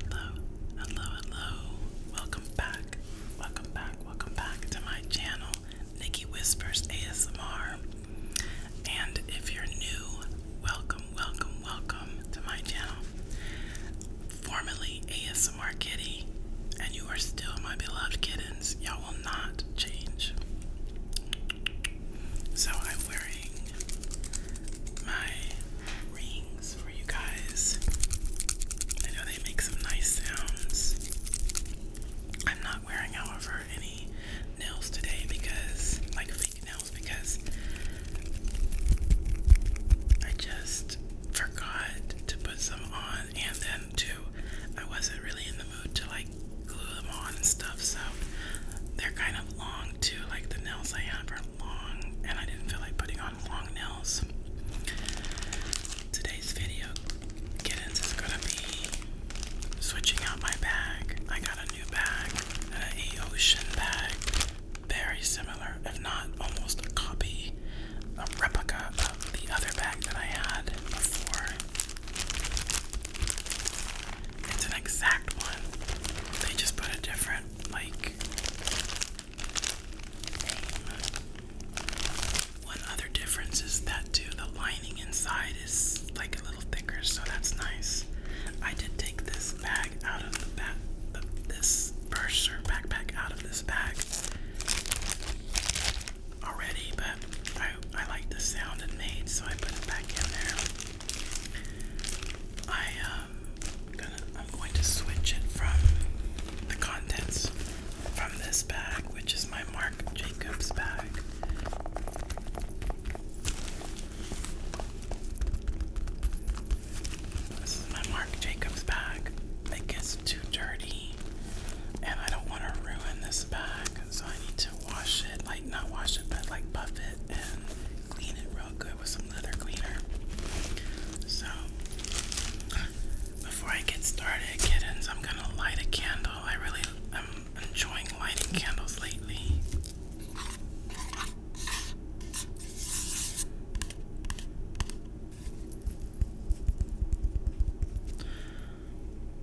Hello, hello, hello. Welcome back. Welcome back. Welcome back to my channel, Nikki Whispers ASMR. And if you're new, welcome, welcome, welcome to my channel. Formerly ASMR Kitty, and you are still my beloved kittens. Y'all will not change. So I'm wearing my rings for you guys. I know they make some nice sounds. I'm not wearing, however, any nails today because, like fake nails, because I just forgot to put some on, and then too, I wasn't really in the mood to like glue them on and stuff, so they're kind of long too. Like the nails I have are long and I didn't feel like putting on long nails. Today's video kittens is gonna be switching out my bag. I got a new bag, an Eocean bag. Very similar, if not almost a copy, a replica of the other bag that I had before. It's an exact one. They just put a different, like, one other difference is that too the lining inside is like a little thicker, so that's nice. I did take this bag out of the back, this purse backpack out of this bag already, but I I like the sound it made, so I put it back in there. I uh, I'm going to switch it from the contents from this bag, which is my Marc Jacobs bag. This is my Marc Jacobs bag. It gets too dirty, and I don't want to ruin this bag, so I need to wash it like, not wash it, but like buff it and clean it real good with some leather cleaner. So, before I get started, kittens, I'm gonna light a candle. I really i am enjoying lighting candles lately.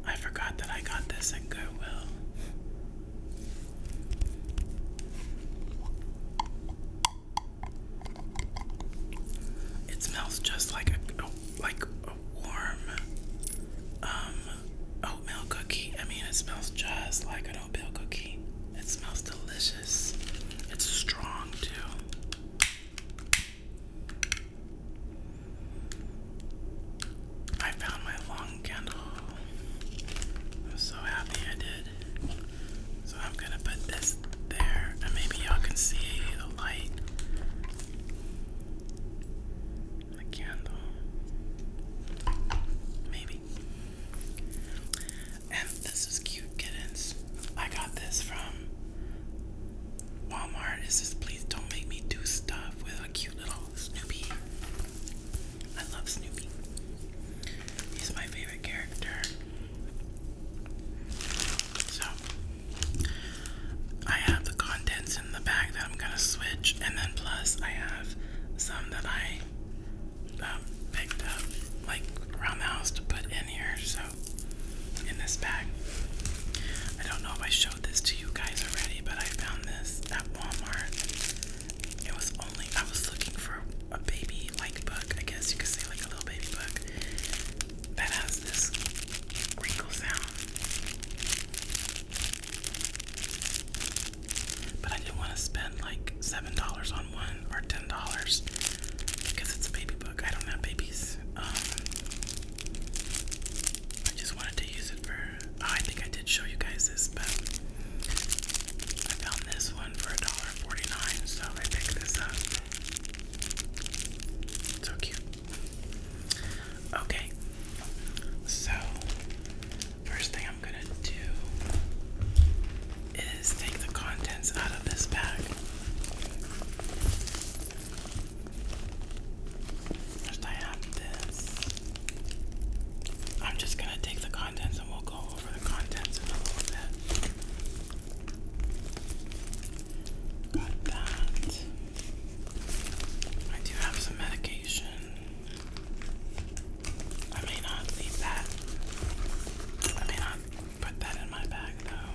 I forgot that I got this at Goodwill. It smells just like a, a like a warm um, oatmeal cookie. I mean, it smells just like an oatmeal cookie. It smells delicious. It's strong too. I found my long candle. so happy I did. So I'm gonna put this there, and maybe y'all can see the light. The candle. Maybe. And this is cute kittens. I got this from Walmart. It says, please don't make me do stuff with a cute little Snoopy. I love Snoopy. He's my favorite character. So, I have the contents in the bag that I'm gonna switch, and then plus I have some that I um, picked up like around the house to put in here. So, in this bag, I don't know if I showed this to you guys already, but I found this at Walmart it was only I was looking for a baby like book, I guess you could say like a little baby book that has this wrinkle sound. But I didn't want to spend like seven dollars on one or ten dollars because it's a baby book. I don't have babies. Um, I just wanted to use it for. Oh, I think I did show you guys this, but I found this one for $1.49, so I picked this up. So cute. Okay, so first thing I'm gonna do is take the contents out of this bag. First, I have this. I'm just gonna take the contents and we'll go over the contents and all of Got that. I do have some medication. I may not leave that. I may not put that in my bag though.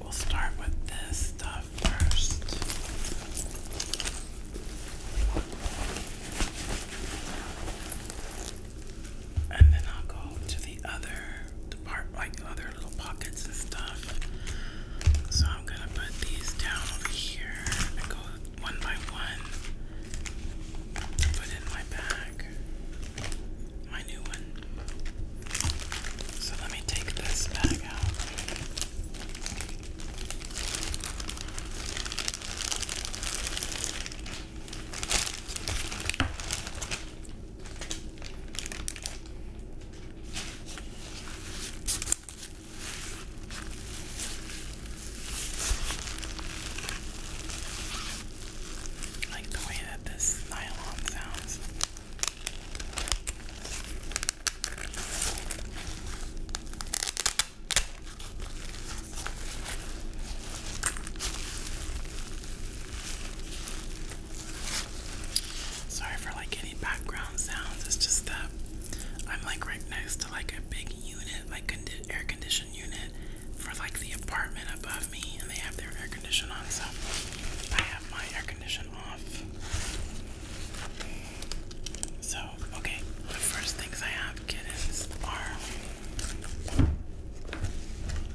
We'll start with this stuff first. And then I'll go to the other department, like other little pockets and stuff. So I'm gonna put these down over here and go one by one put in my bag, my new one. So let me take this bag out. I like the way that this nylon sounds. Sorry for like any background sounds. It's just that I'm like right next to like a big unit, like condi air conditioned unit for like the apartment above me, and they have their air condition on, so I have my air condition off. So Oh, okay, the first things I have kittens are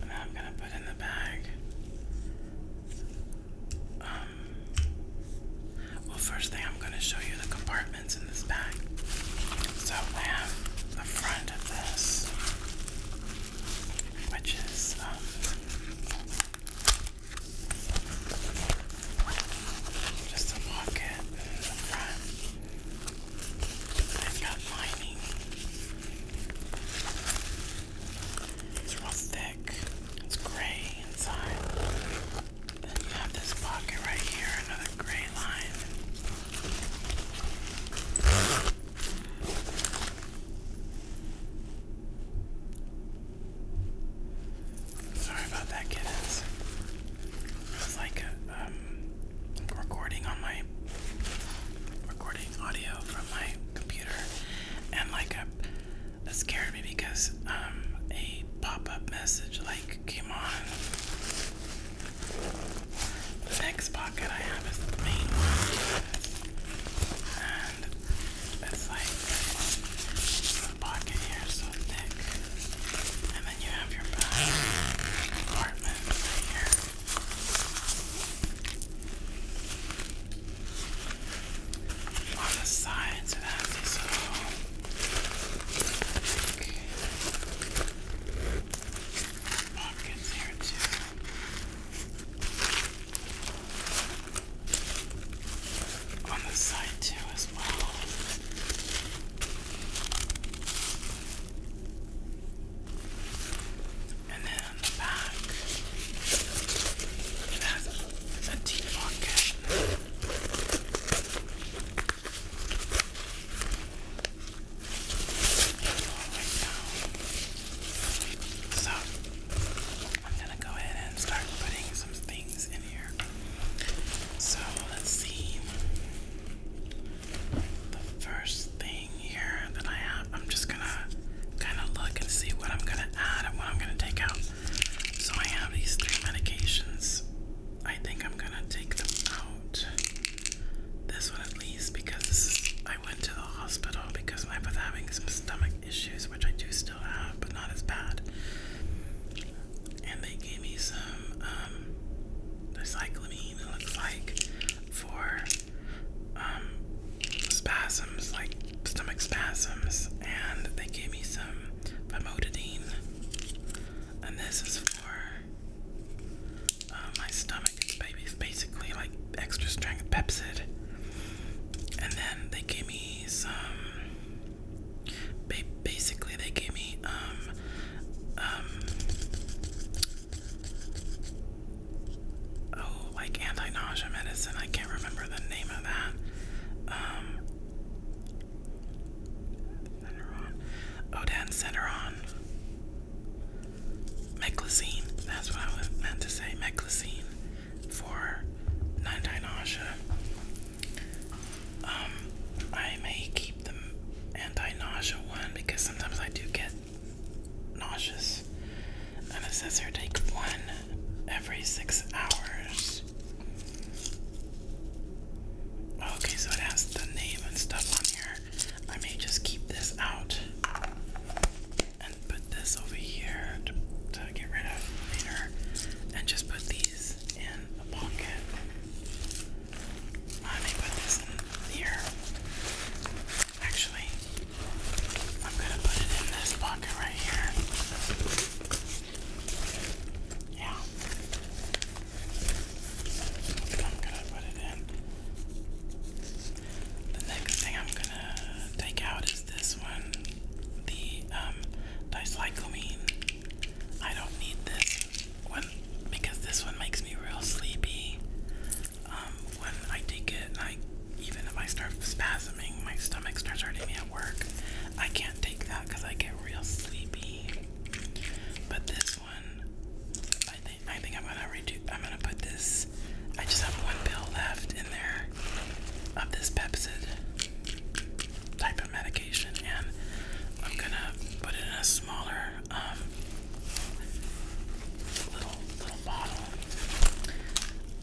that I'm gonna put in the bag. Um, well, first thing I'm gonna show you the compartments in this bag. So I have the front of this, which is um, Just a pocket in the front. I'm not mining. It's real thick. It's gray inside. Then you have this pocket right here, another gray line. Sorry about that, kittens. It's like um recording on my recording audio from my computer, and like a, scared me because um a pop-up message like came on. The next pocket I have is the main and it's like the pocket here is so thick, then you have your back compartment right here. On the sides, it has these little like, pockets here too. On the side too, as well. And then the back, has a deep pocket. So, I'm gonna go ahead and start putting some things in here. So, let's see the first thing here that I have, I'm just gonna kind of look and see what I'm gonna add and what I'm gonna take out. So I have these three medications. I think I'm gonna take them out. This one at least because this is, I went to the hospital because I was having some stomach issues, which I do still have, but not as bad and they gave me some um, cyclamine, it looks like, for um, spasms, like stomach spasms, and they gave me some famotidine, and this is for uh, my stomach. It's basically like extra strength Pepsid, and then they gave me some basically, they gave me um, um, oh, like anti-nausea medicine. I can't remember the name of that. Um, Cederon, oh, That's what I was meant to say. Meclizine for anti-nausea. Um, I may keep the anti-nausea one because sometimes I do get nauseous. And it says here take one every six hours. Okay, so it has the name and stuff on here. I may just keep this out and put this over here to, to get rid of later and just put these in a pocket. Let me put this in here. Actually, I'm gonna put it in this pocket right here. Yeah. I'm gonna put it in. The next thing I'm gonna take out is this one. The um I don't need this when because this one makes me real sleepy. Um, when I take it, I even if I start spasming, my stomach starts hurting me at work. I can't take that because I get real sleepy. But this one, I think I am gonna redo. I'm gonna put this. I just have one pill left in there of this Pepsi type medication, and I'm gonna put it in a smaller um, little little bottle.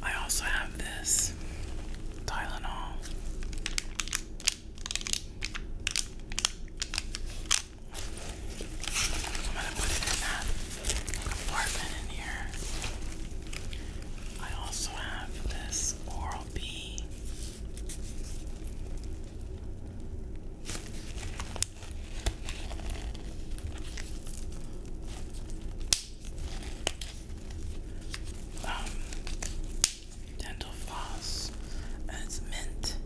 I also have this Tylenol. I'm gonna put it in that compartment in here. I also have this Oral B. Um, dental floss, and it's mint.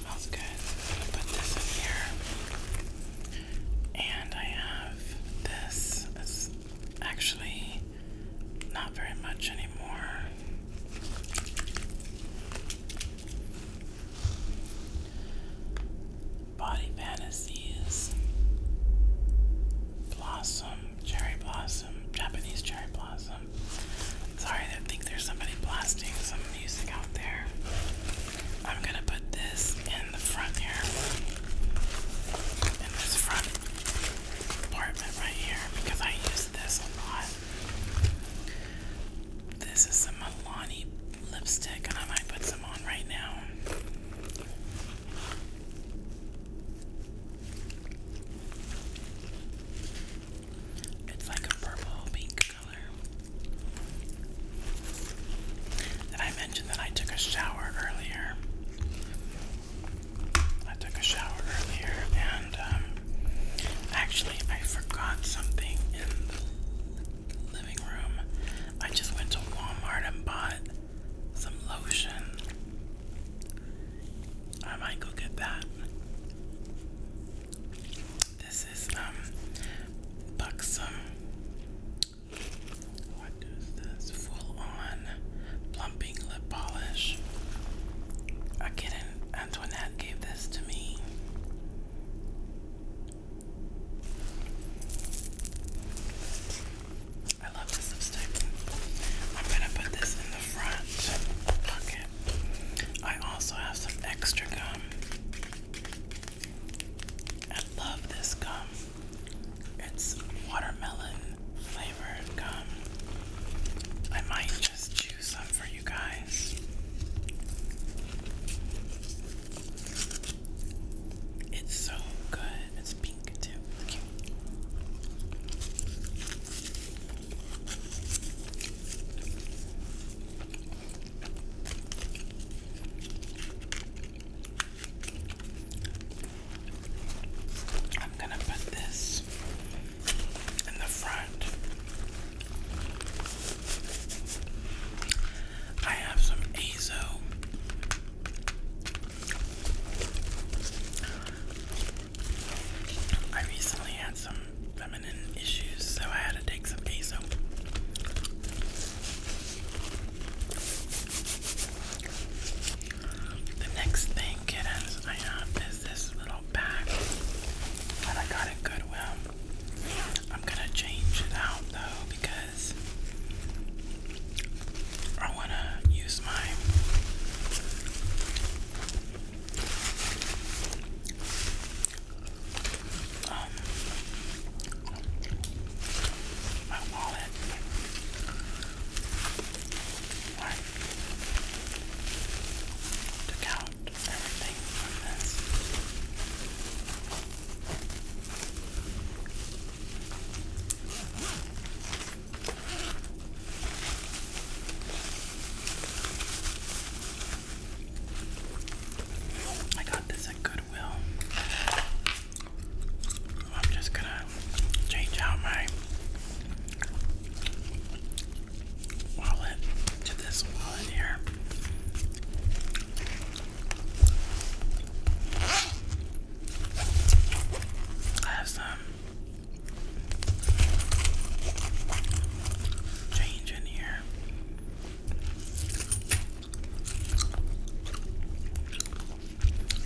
Smells good. I'm gonna put this in here, and I have this. It's actually not very much anymore. Body Fantasies, Blossom, Cherry Blossom, Japanese Cherry Blossom. Sorry, I think there's somebody blasting some music out there. I'm gonna put this in the front here, in this front apartment right here, because I use this a lot. This is a Milani lipstick, I might put some on right now. It's like a purple pink color. Did I mention that I took a shower earlier? I took a shower earlier and um, actually I forgot something in the living room. I just went to Walmart and bought some lotion. I might go get that. This is um buxom. What is this? Full on plump Lip Polish. I get Antoinette gave this to me. I love this lipstick. I'm gonna put this in the front pocket. I also have some extra gum. I love this gum. It's watermelon flavored gum. I might just chew some for you guys. It's so good. It's pink too. I'm gonna put this nice in the front. I have some Azo I recently had some feminine issues, so I had to take some Azo. The next thing, kittens, I have is this little bag that I got at Goodwill. I'm gonna change it out though because I wanna use my um, my wallet more to I got this at Goodwill. I'm just gonna change out my wallet to this wallet here. I have some change in here.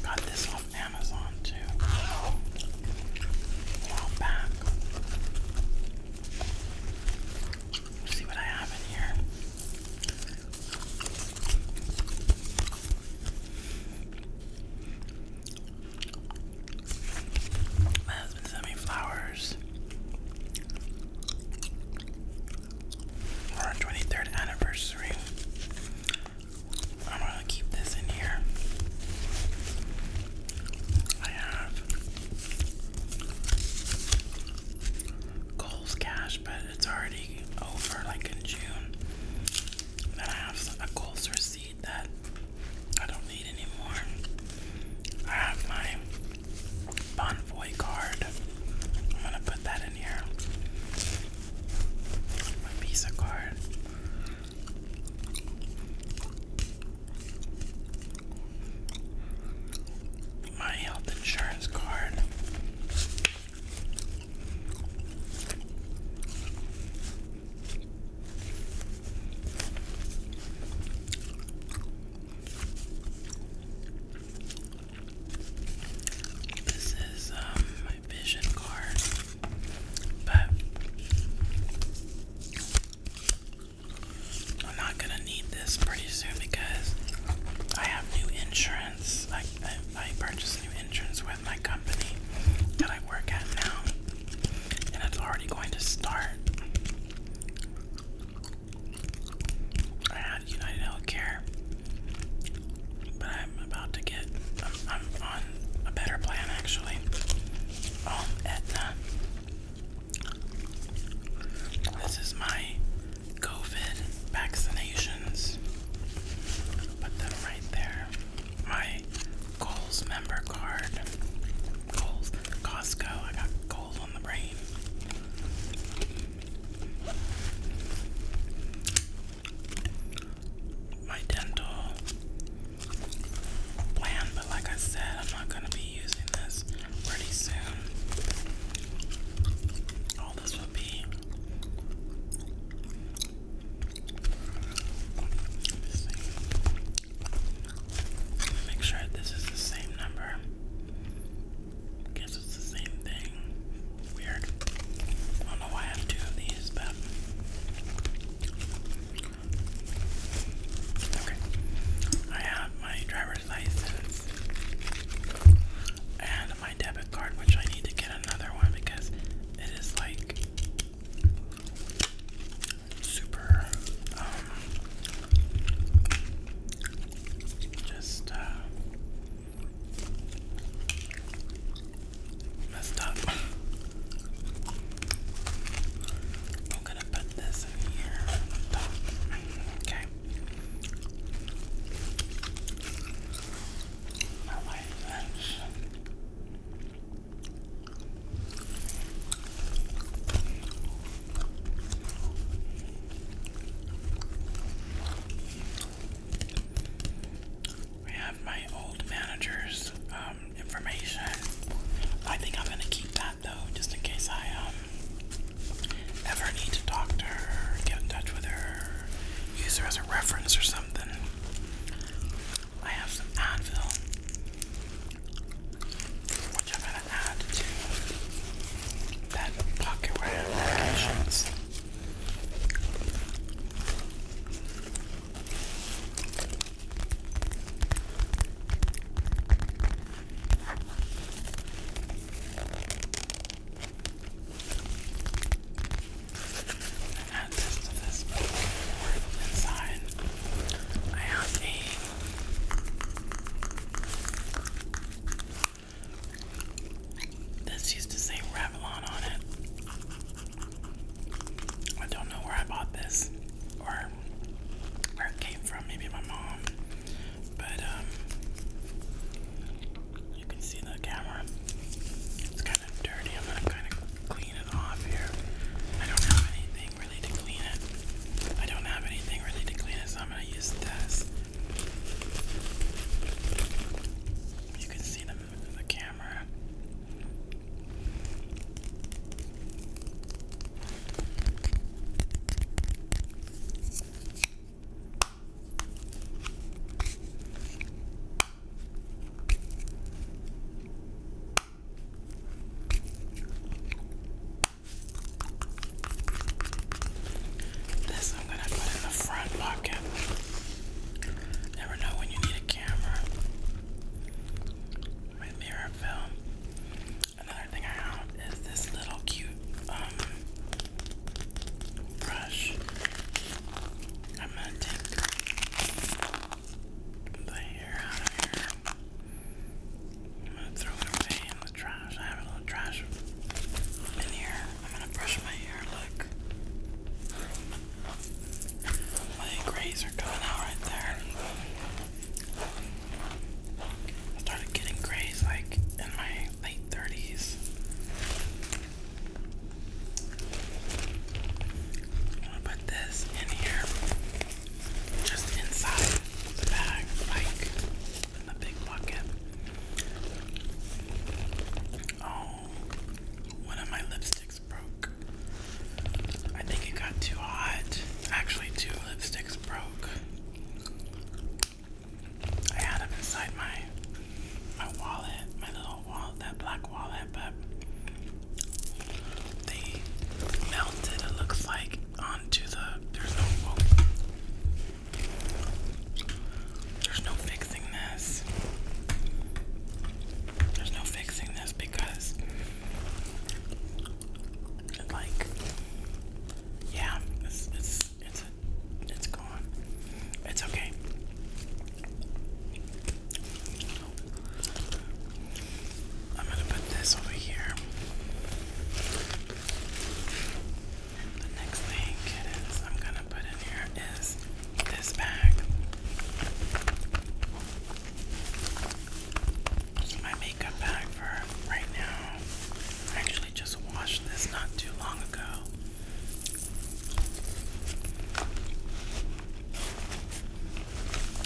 Got this off Amazon on to a while back. see what I have in here. My husband sent me flowers for our 23rd anniversary. I'm gonna keep this in here. I have Kohl's cash, but it's already over like in June. Then I have a Kohl's receipt that I don't need anymore. I have my Bonvoy card. I'm gonna put that in here. My Visa card. My health insurance card. This is um, my vision card, but I'm not gonna need this pretty soon because I have new insurance. I, I, purchased new insurance with my company that I work at now, and it's already going to start. I had United Healthcare, but I'm about to get. I'm on a better plan actually um, This is my COVID vaccinations. Put them right there. My Kohl's member card. Kohl's Costco. I got Kohl's on the brain. My dental plan, but like I said, I'm not gonna be using this pretty soon. All this would be Make sure this is the same number. Guess it's the same thing. Weird. I don't know why I have two of these, but Okay. I have my driver's license and my debit card, which I need to get another one because it is like super um, just uh, messed up. I'm gonna put this in here Okay. I like that. We have my old manager's uh, um, information. I think I'm gonna keep that though, just in case I um ever need to talk to her, get in touch with her, use her as a reference or something. I have some Advil, which I'm gonna add to that pocket where I medications. And add to this portable inside. I have a this used to say Revlon on it. I don't know where I bought this or where it came from. Maybe my mom. But um, you can see the camera. It's kind of dirty. I'm gonna kind of clean it off here. I don't have anything really to clean it. I don't have anything really to clean it, so I'm gonna use this. You can see them the camera. This I'm going to put in the front pocket. Never know when you need a camera my mirror film. Another thing I have is this little cute um, brush. I'm gonna take the hair out of here. I'm gonna throw it away in the trash. I have a little trash in here. I'm gonna brush my hair look. My grays are coming out right there. I started getting grays like in my late 30s. I'm gonna put this in here, just inside the bag, like in the big bucket. Oh, one of my lipstick broke. I think it got too hot. Actually, two lipsticks broke. I had them inside my my wallet, my little wallet, that black wallet, but they melted. It looks like onto the. There's no. Oh. There's no fixing this. There's no fixing this because like yeah, it's it's it's it's gone. It's okay. I'm gonna put this over here. The next thing it is I'm gonna put in here is this bag my makeup bag for right now. actually just washed this not too long ago.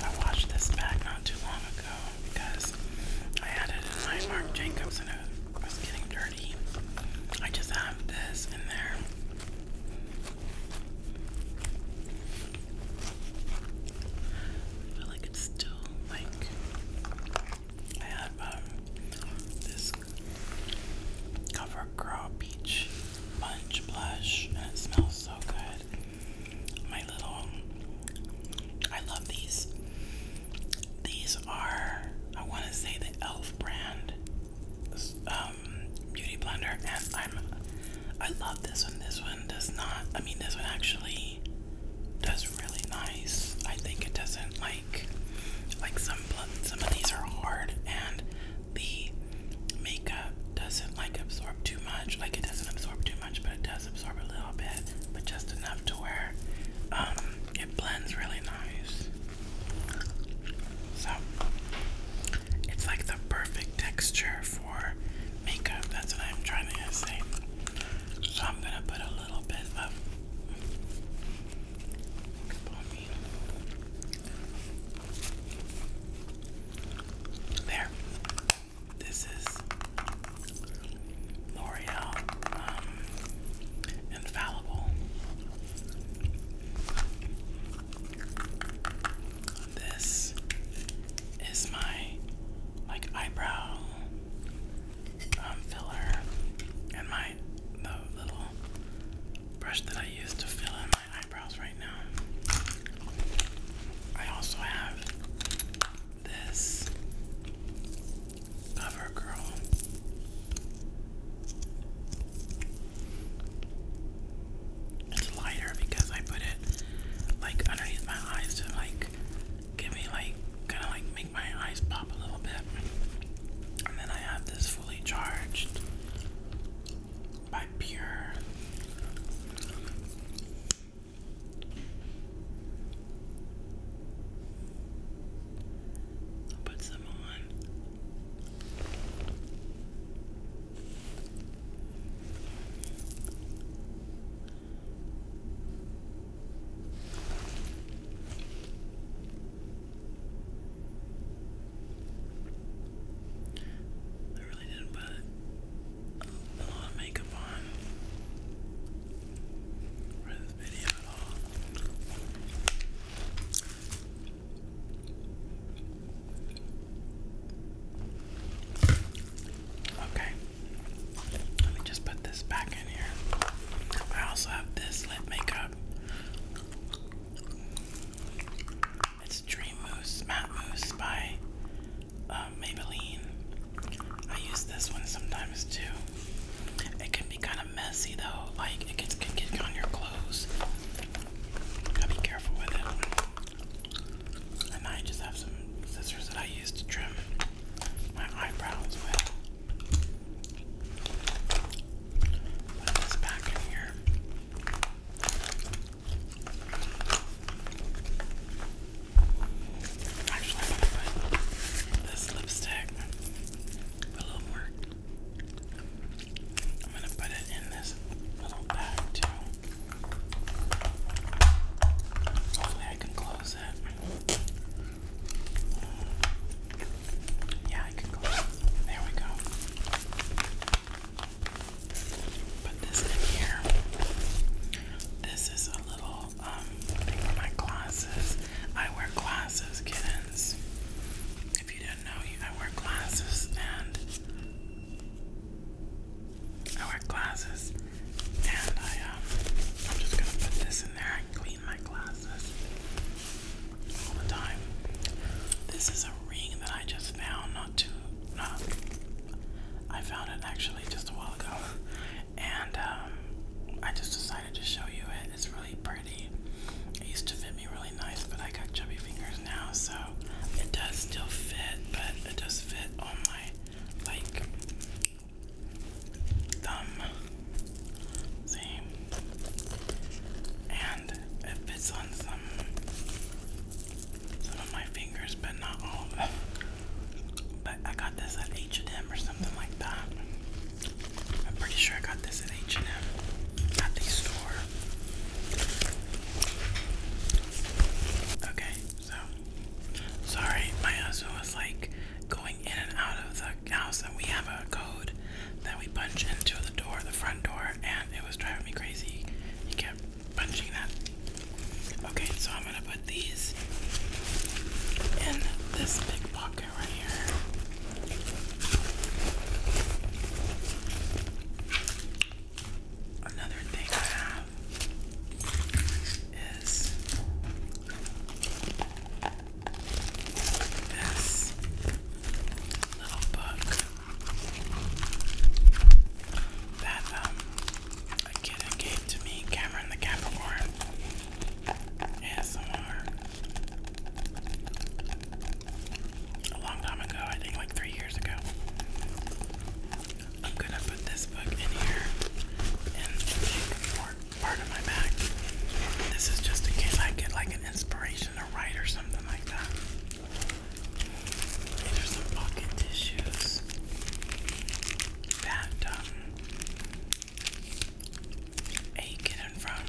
I washed this bag not too long ago because I had it in my Marc Jacobs and it was getting dirty. I just have this in there. I feel like it's still like I have this CoverGirl Peach Punch blush, and it smells so good. My little, I love these. These are, I want to say, the Elf brand um, beauty blender, and I'm I love this one. This one does not, I mean, this one actually does really nice. I think it doesn't like, like some, some of these are hard and the makeup doesn't like absorb too much. Like it doesn't absorb too much, but it does absorb a little bit, but just enough to where um, it blends really nice. So it's like the perfect texture for for makeup. That's what I'm trying to say. So I'm gonna put a little bit of There. This is L'Oreal um, Infallible this is my like eyebrow um, filler and my the little brush that I use to fill in my eyebrows right now. I also have this CoverGirl it's lighter because I put it like underneath my eyes to like give me like kind of like make my eyes pop a little bit. And then I have this fully charged by Pure. I'll put some on. I really didn't put a lot of makeup on for this video at all. Okay. Let me just put this back in here. I also have this lip makeup. It's Dream Mousse, Matte Mousse by uh, Maybelline. I use this one sometimes too. It can be kind of messy though, like it gets, can get on your clothes. Gotta be careful with it. And I just have some scissors that I use to trim my eyebrows with. Put this back in here. Actually, I'm gonna put this lipstick a little more. I'm gonna put it in this little bag too. Hopefully I can close that. Yeah, I can close it. There we go. Put this in here. This is a little thing um, for my glasses. I wear glasses, kittens. If you didn't know, I wear glasses and I wear glasses and I, um, I'm just gonna put this in there. I clean my glasses all the time. This is a ring that I just found not too, not, I found it actually just a while ago. And, um, I just decided to show you it. It's really pretty. It used to fit me really nice, but I got chubby fingers now, so it does still fit, but it does fit on my like thumb same and it fits on some some of my fingers but not all of them but I got this at H&M or something like that I'm pretty sure I got this at H&M at the store okay so, sorry, my husband was like going in and out of the house, and we have a code that we punch into the door, the front door, and it was driving me crazy. He kept punching that. Okay, so I'm gonna put these in this big pocket right here. Another thing I have is this little book that um, a kid to me, Cameron the Capricorn ASMR. long time ago, I think like three years ago. I'm gonna put this book in here and take more part of my back. This is just in case I get like an inspiration to write or something like that. there's some pocket tissues that um, ain't from.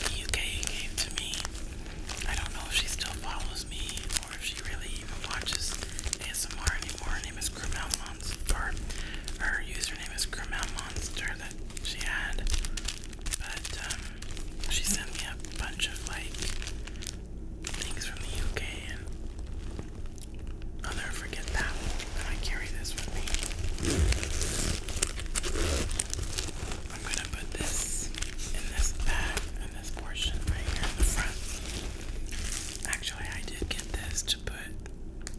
The UK gave to me I don't know if she still follows me or if she really even watches ASMR anymore. Her name is Grimel Monster. Her username is Grimel Monster that she had. But um, she sent me a bunch of like things from the UK and i forget that I carry this with me. I'm gonna put this in this bag, in this portion right here in the front. Actually, I did get this to put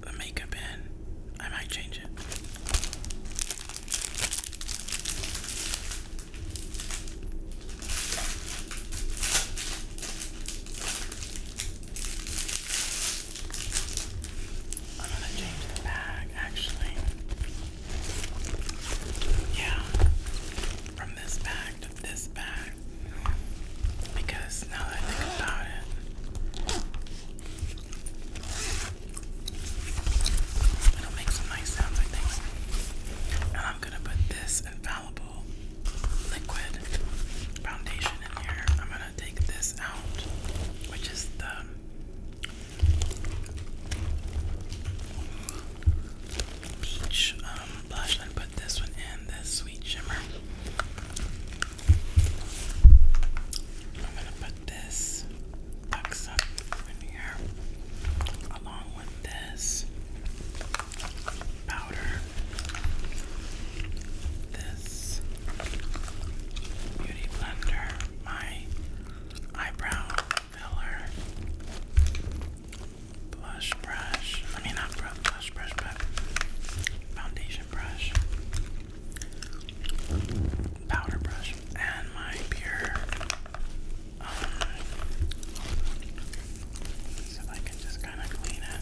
the makeup in. I might change it. I'm gonna change the bag actually. Yeah, from this bag this bag. Because now that I think about it, it'll make some nice sounds, I think. And I'm gonna put this infallible liquid foundation in here. I'm gonna take this out, which is the Beach blush and put this one in this sweet shimmer. I'm gonna put this box up in here along with this powder, this beauty blender, my eyebrow filler, blush brush. I mean, not blush brush, but foundation brush, powder brush, and my pure. Um, so I can just kind of clean it.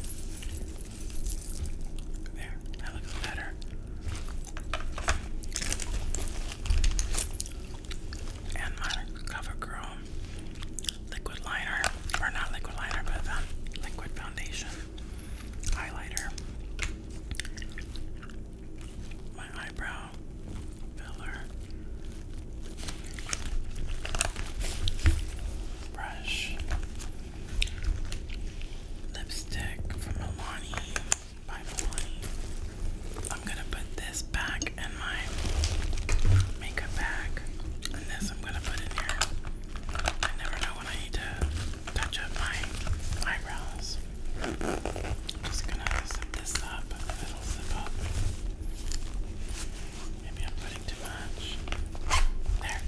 There, that looks better and my CoverGirl liquid liner, or not liquid liner, but um, liquid foundation highlighter. My eyebrow filler brush lipstick from Milani by I'm gonna put this back in my makeup bag, and this I'm gonna put in here. I never know when I need to touch up my eyebrows. just gonna zip this up, it'll zip up. Maybe I'm putting too much. There.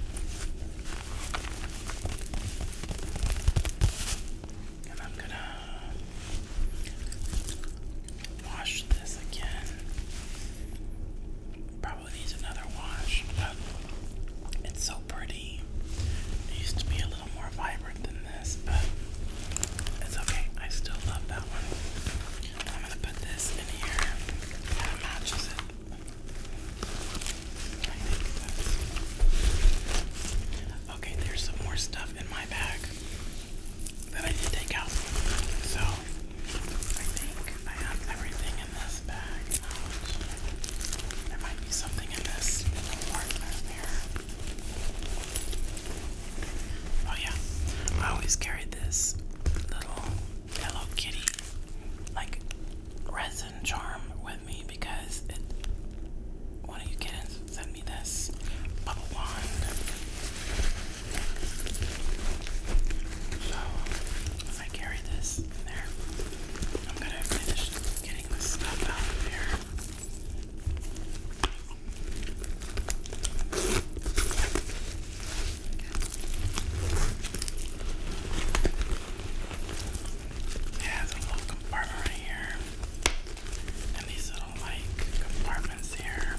And I'm gonna wash this again. Probably needs another wash, but it's so pretty. used to be a little more vibrant than this, but it's okay. I still love that one. I'm gonna put this in here. That matches it. okay. There's some more stuff in my bag that I did take out. So I think I have everything in this bag. Um, there might be something in this partner there. Oh yeah, I always carry this little Hello Kitty like resin charm with me because it when you get I carry this there. I'm gonna finish getting this stuff out of here. It has a little compartment right here and these little like compartments here.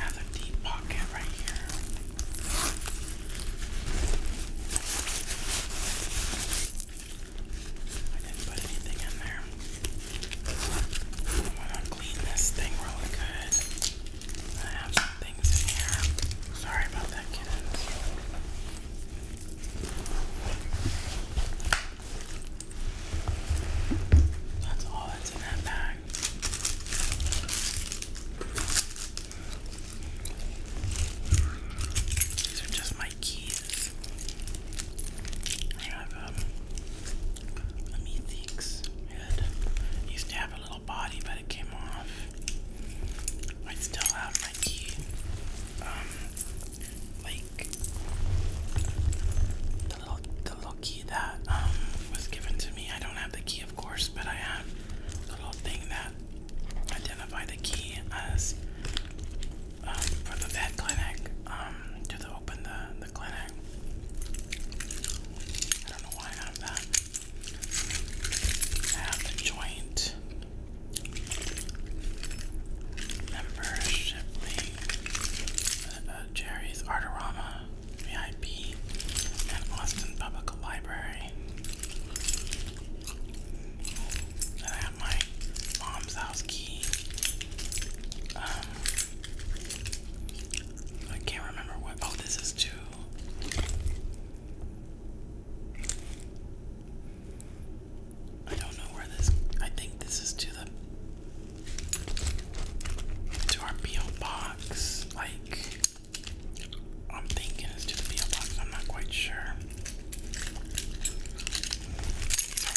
I a deep pocket right here. I didn't put anything in there. I want to clean this thing really good. I have some things in here. Sorry about that, kittens. That's all that's in that bag. These are just my keys. I have um, a Metheek's head. used to have a little body, but it came off. I still have um, the little, key that um, was given to me. I don't have the key, of course, but I have the little thing that identify the key as um, for the vet clinic to open the the clinic. I don't know why I have that. I have the joint. Membership uh, Jerry's Artorama, VIP, and Austin Public Library. And I have my mom's house key. Um, I can't remember what. Oh, this is too. I don't know where this. I think this is to the to our PO box. Like I'm thinking it's to the PO box. I'm not quite sure.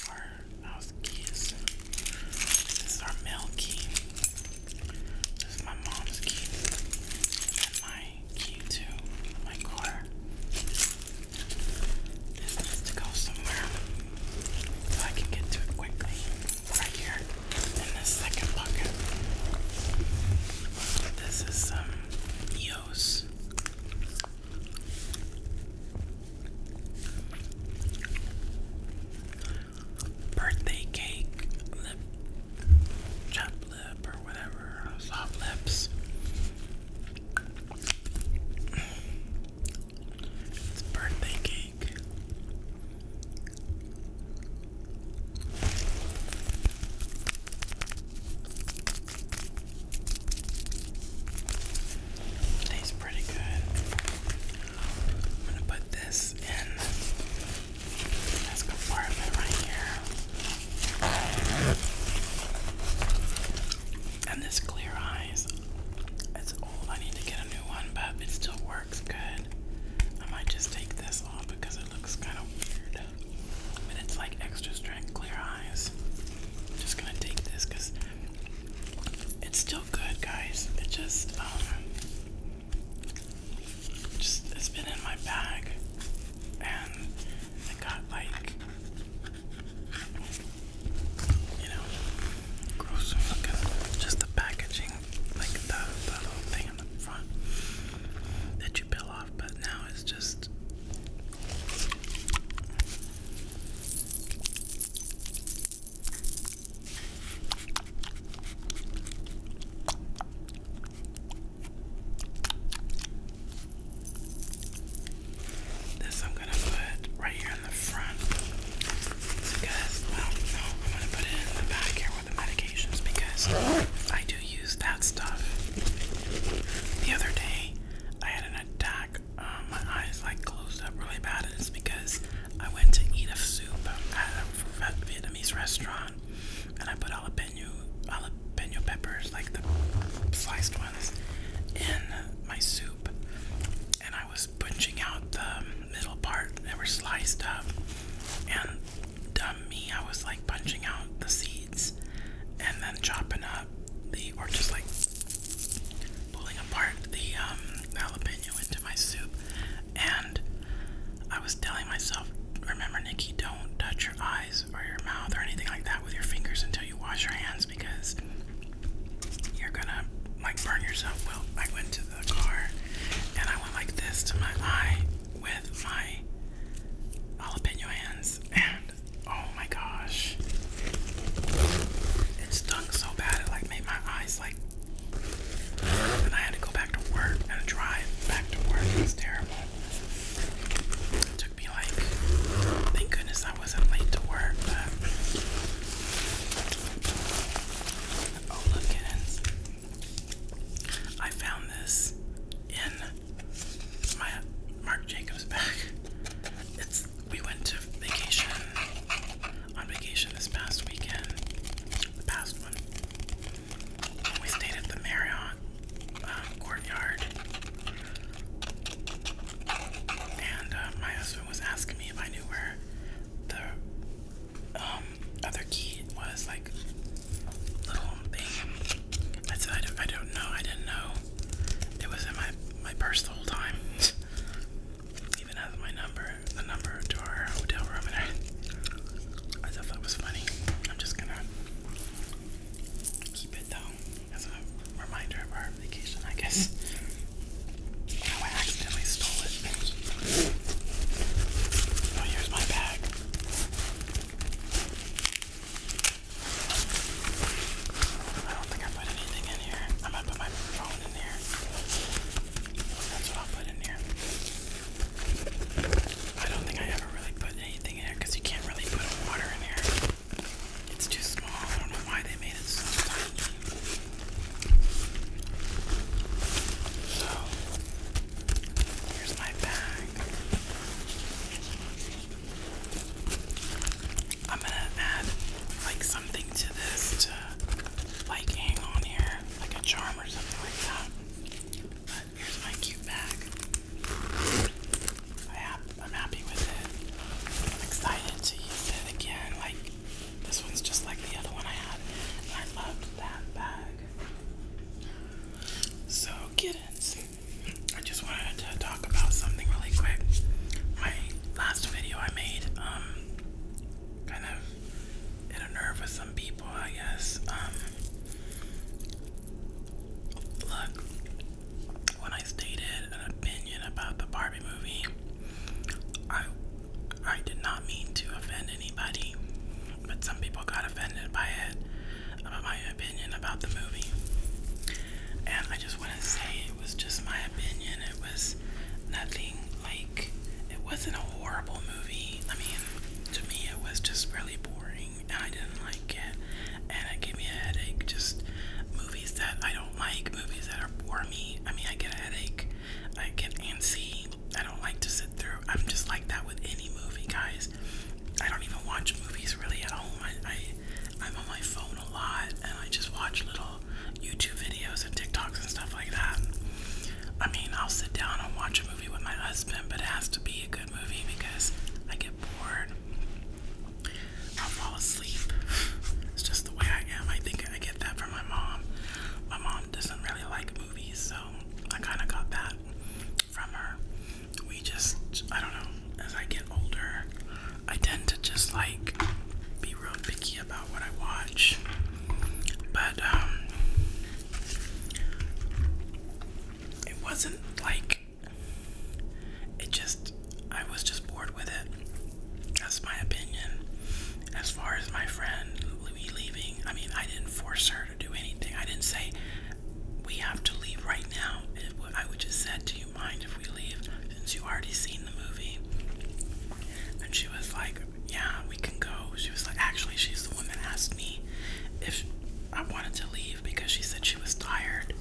our house keys. This our mail key. This is my mom's key. And my key to my car. This needs to go somewhere so I can get to it quickly. Right here in this second bucket. This is some um, Birthday cake, lip, chopped lip, or whatever, soft lips. It's birthday cake. Tastes pretty good. I'm gonna put this in this compartment right here. And this clear eyes, it's old. I need to get a new one, but it still works good. I might just take this off because it looks kind of weird. But it's like extra strength clear eyes. I'm just gonna take this because it's still good, guys. It just, um, just it's been in my bag, and I got like you know, gross looking. Just the packaging, like the, the little thing in the front that you peel off, but now it's just. This I'm gonna put right here in the front because, well, no, I'm gonna put it in the back here with the medications because I do use that stuff. The other day, I had an attack. Um, my eyes like closed up really bad, and it's because I went to eat a soup at a Vietnamese restaurant, and I put menu jalapeno peppers, like the sliced ones, in my soup, and I was punching out the middle part that were sliced up, and dumb me, I was like punching out the seeds, and then chopping up the, or just like pulling apart the um, jalapeno into my soup, and I was telling myself, remember Nikki, don't touch eyes or your mouth or anything like that with your fingers until you wash your hands because you're gonna like burn yourself. Well, I went to the car and I went like this to my eye with my jalapeno hands, and oh my gosh, it stung so bad it like made my eyes like. And I had to go back to work and drive back to work. It was terrible be like, thank goodness I wasn't late to work, oh look at I found this in my Marc Jacobs bag. It's we went to vacation on vacation this past weekend. The past one. We stayed at the Marriott um, courtyard. And uh, my husband was asking me if I knew where the um, other key was, like little thing. I said I don't, I don't know. I didn't know. It was in my my purse the whole time. Even has my number, the number to our hotel room, and I, I thought that was funny. I'm just gonna keep it though as a reminder of our vacation, I guess. Oh, I accidentally stole it. Oh, here's my bag. I don't think I put anything in here. I might put my phone in here. That's what I'll put in here. I don't think I ever really put anything in here because you can't really put water in here. It's too small. I don't know why they made it so tiny. So, here's my bag. I'm gonna add like something to this to like hang on here, like a charm or something like that. But here's my cute bag. I have I'm happy with it. I'm excited to use it again. Like this one's just like the other one I had. And I loved that bag. So kittens, I just wanted to talk about something really quick. My last video I made, um, kind of hit a nerve with some people, I guess. Um, look, when I stated an opinion about the Barbie movie, I I did not mean to offend anybody, but some people got offended by it about my opinion about the movie. And I just want to say it was just my opinion. It was nothing like it wasn't a horrible movie. I mean, to me, it was just really boring and I didn't like it and it gave me a headache. Just movies that I don't like, movies that are bore me. I mean, I get a headache, I get antsy. I don't like to sit through. I'm just like that with any movie, guys. I don't even watch movies really at home. I, I I'm on my phone a lot, and I just watch little YouTube videos and TikToks and stuff like that. I mean, I'll sit down and watch a movie with my husband, but it has to be a good movie because I get bored. I'll fall asleep. It's just the way I am. I think I get that from my mom. My mom doesn't really like movies, so I kind of got that from her. We just, I don't know, as I get older, I tend to just like be real picky about what I watch. But, um, it wasn't like it just, I was just bored with it. That's my opinion. As far as my friend Louie leaving, I mean, I didn't force her to do anything. I didn't say, we have to leave right now. It, I would just said, do you mind if we leave since you already seen the movie? And she was like, yeah, we can go. She was like, actually, she's the one that asked me if I wanted to leave because she said she was tired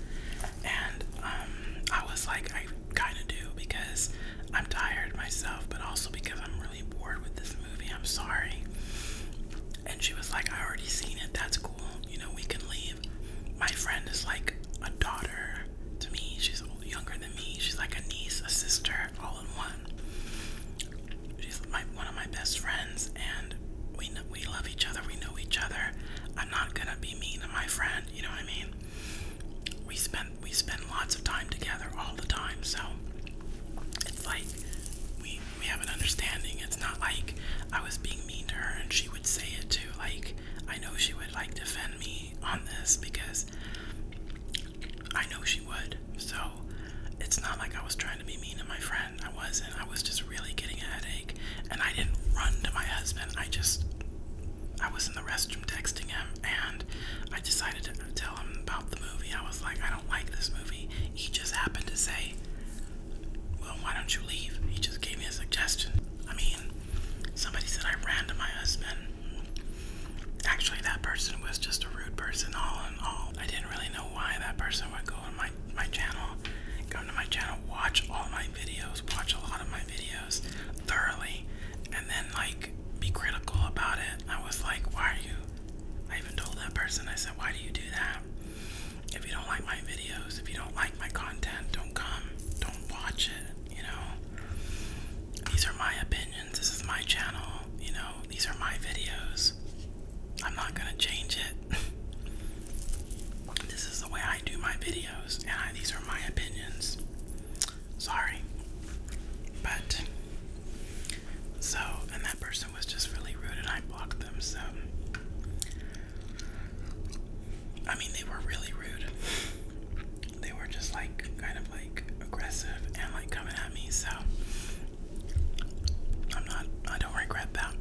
and um, I was like, I kind of do because I'm tired myself, but also because I'm really bored with this movie. I'm sorry. And she was like, I already seen it. That's cool. You know, we can leave. My friend is like a daughter to me. She's younger than me. She's like a niece, a sister, all in one. She's my, one of my best friends, and we we love each other. We know each other. I'm not gonna be mean to my friend, you know what I mean? We spend we spend lots of time together all the time, so it's like we we have an understanding. It's not like I was being mean to her and she would say it too. Like I know she would like defend me on this because I know she would. So it's not like I was trying to be mean to my friend. I wasn't. I was just really getting a headache and I didn't run to my husband. I just I was in the restroom texting him, and I decided to tell him about the movie. I was like, I don't like this movie. He just happened to say, Well, why don't you leave? He just gave me a suggestion. I mean, somebody said I ran to my husband. Actually, that person was just a rude person, all in all. I didn't really know why that person would go to my, my channel, go to my channel, watch all my videos, watch a lot of my videos thoroughly, and then like be critical about it. I was like, why are you? I even told that person, I said, why do you do that? If you don't like my videos, if you don't like my content, don't come, don't watch it, you know? These are my opinions, this is my channel, you know, these are my videos. I'm not gonna change it. This is the way I do my videos, and these are my opinions. Sorry. But, so, and that person was just really rude, and I blocked them, so. I mean, they were really rude. They were just like, kind of like aggressive and like coming at me, so. I'm not, I don't regret that.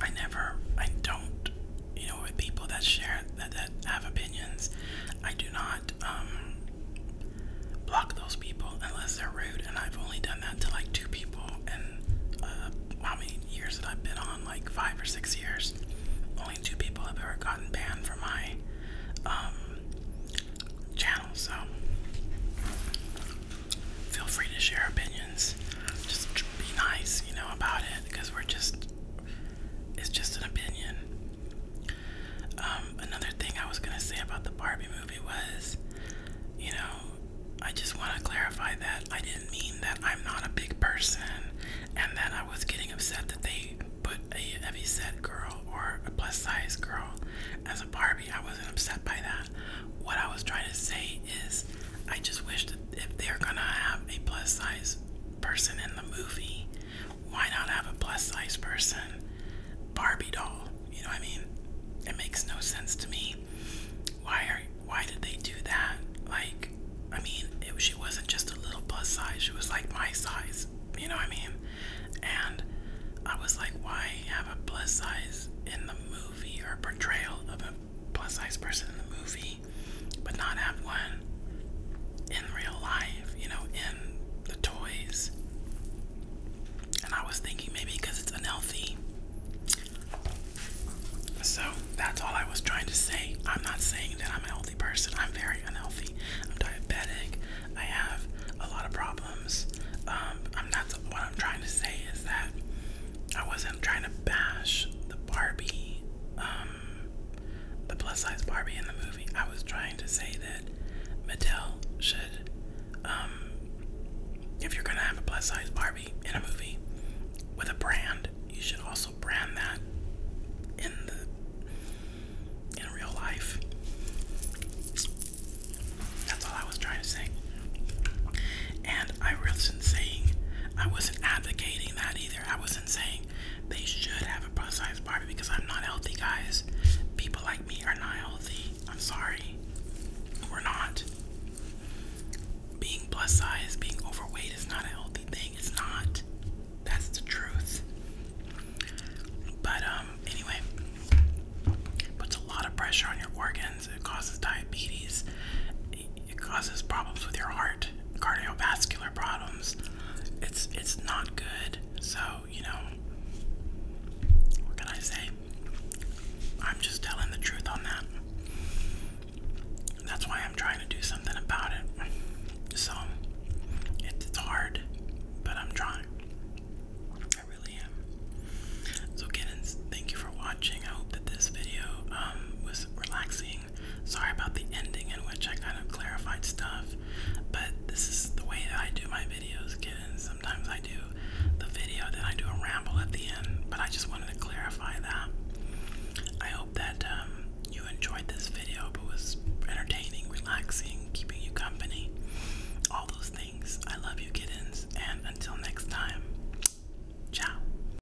I never, I don't, you know, with people that share, that, that have opinions, I do not um, block those people unless they're rude. And I've only done that to like two people in uh, how many years that I've been on, like five or six years. Only two people have ever gotten banned from my um, channel. So feel free to share opinions. Just be nice, you know, about it it because we're just it's just an opinion. Um, another thing I was gonna say about the Barbie movie was, you know, I just want to clarify that I didn't mean that I'm not a big person and that I was getting upset that they put a heavy set girl or a plus size girl as a Barbie. I wasn't upset by that. What I was trying to say is, I just wish that if they're gonna have a plus size person in the movie, why not have a plus size person Barbie doll? You know what I mean? It makes no sense to me. Why are why did they do that? Like, I mean, it, she wasn't just a little plus size. She was like my size. You know what I mean? And I was like, why have a plus size in the movie or portrayal of a plus size person in the movie? but not have one in real life, you know, in the toys. And I was thinking maybe because it's unhealthy. So that's all I was trying to say. I'm not saying that I'm a healthy person, I'm very unhealthy. I'm diabetic, I have a lot of problems. Um, I'm not what I'm trying to say is that I wasn't trying to bash the Barbie, um, the plus size Barbie in the movie. I was trying to say that Mattel should, um, if you're gonna have a plus size Barbie in a movie with a brand, you should also brand that in the in real life. That's all I was trying to say. And I wasn't saying I wasn't advocating that either. I wasn't saying they should have a plus size Barbie because I'm not healthy, guys. People like me are not healthy. I'm sorry. We're not. Being plus size, being overweight is not a healthy thing. It's not. That's the truth. But um anyway, puts a lot of pressure on your organs. It causes diabetes it causes problems with your heart, cardiovascular problems. It's it's not good. So, you know, what can I say? I'm just telling the truth on that. That's why I'm trying to do something about it. So, it's hard, but I'm trying. I really am. So, kittens, thank you for watching. I hope that this video um, was relaxing Sorry about the ending in which I kind of clarified stuff, but this is the way that I do my videos, kids. Sometimes I do the video, then I do a ramble at the end, but I just wanted to clarify that. I hope that um, you enjoyed this video, but was entertaining, relaxing, keeping you company, all those things. I love you, kittens, and until next time, ciao.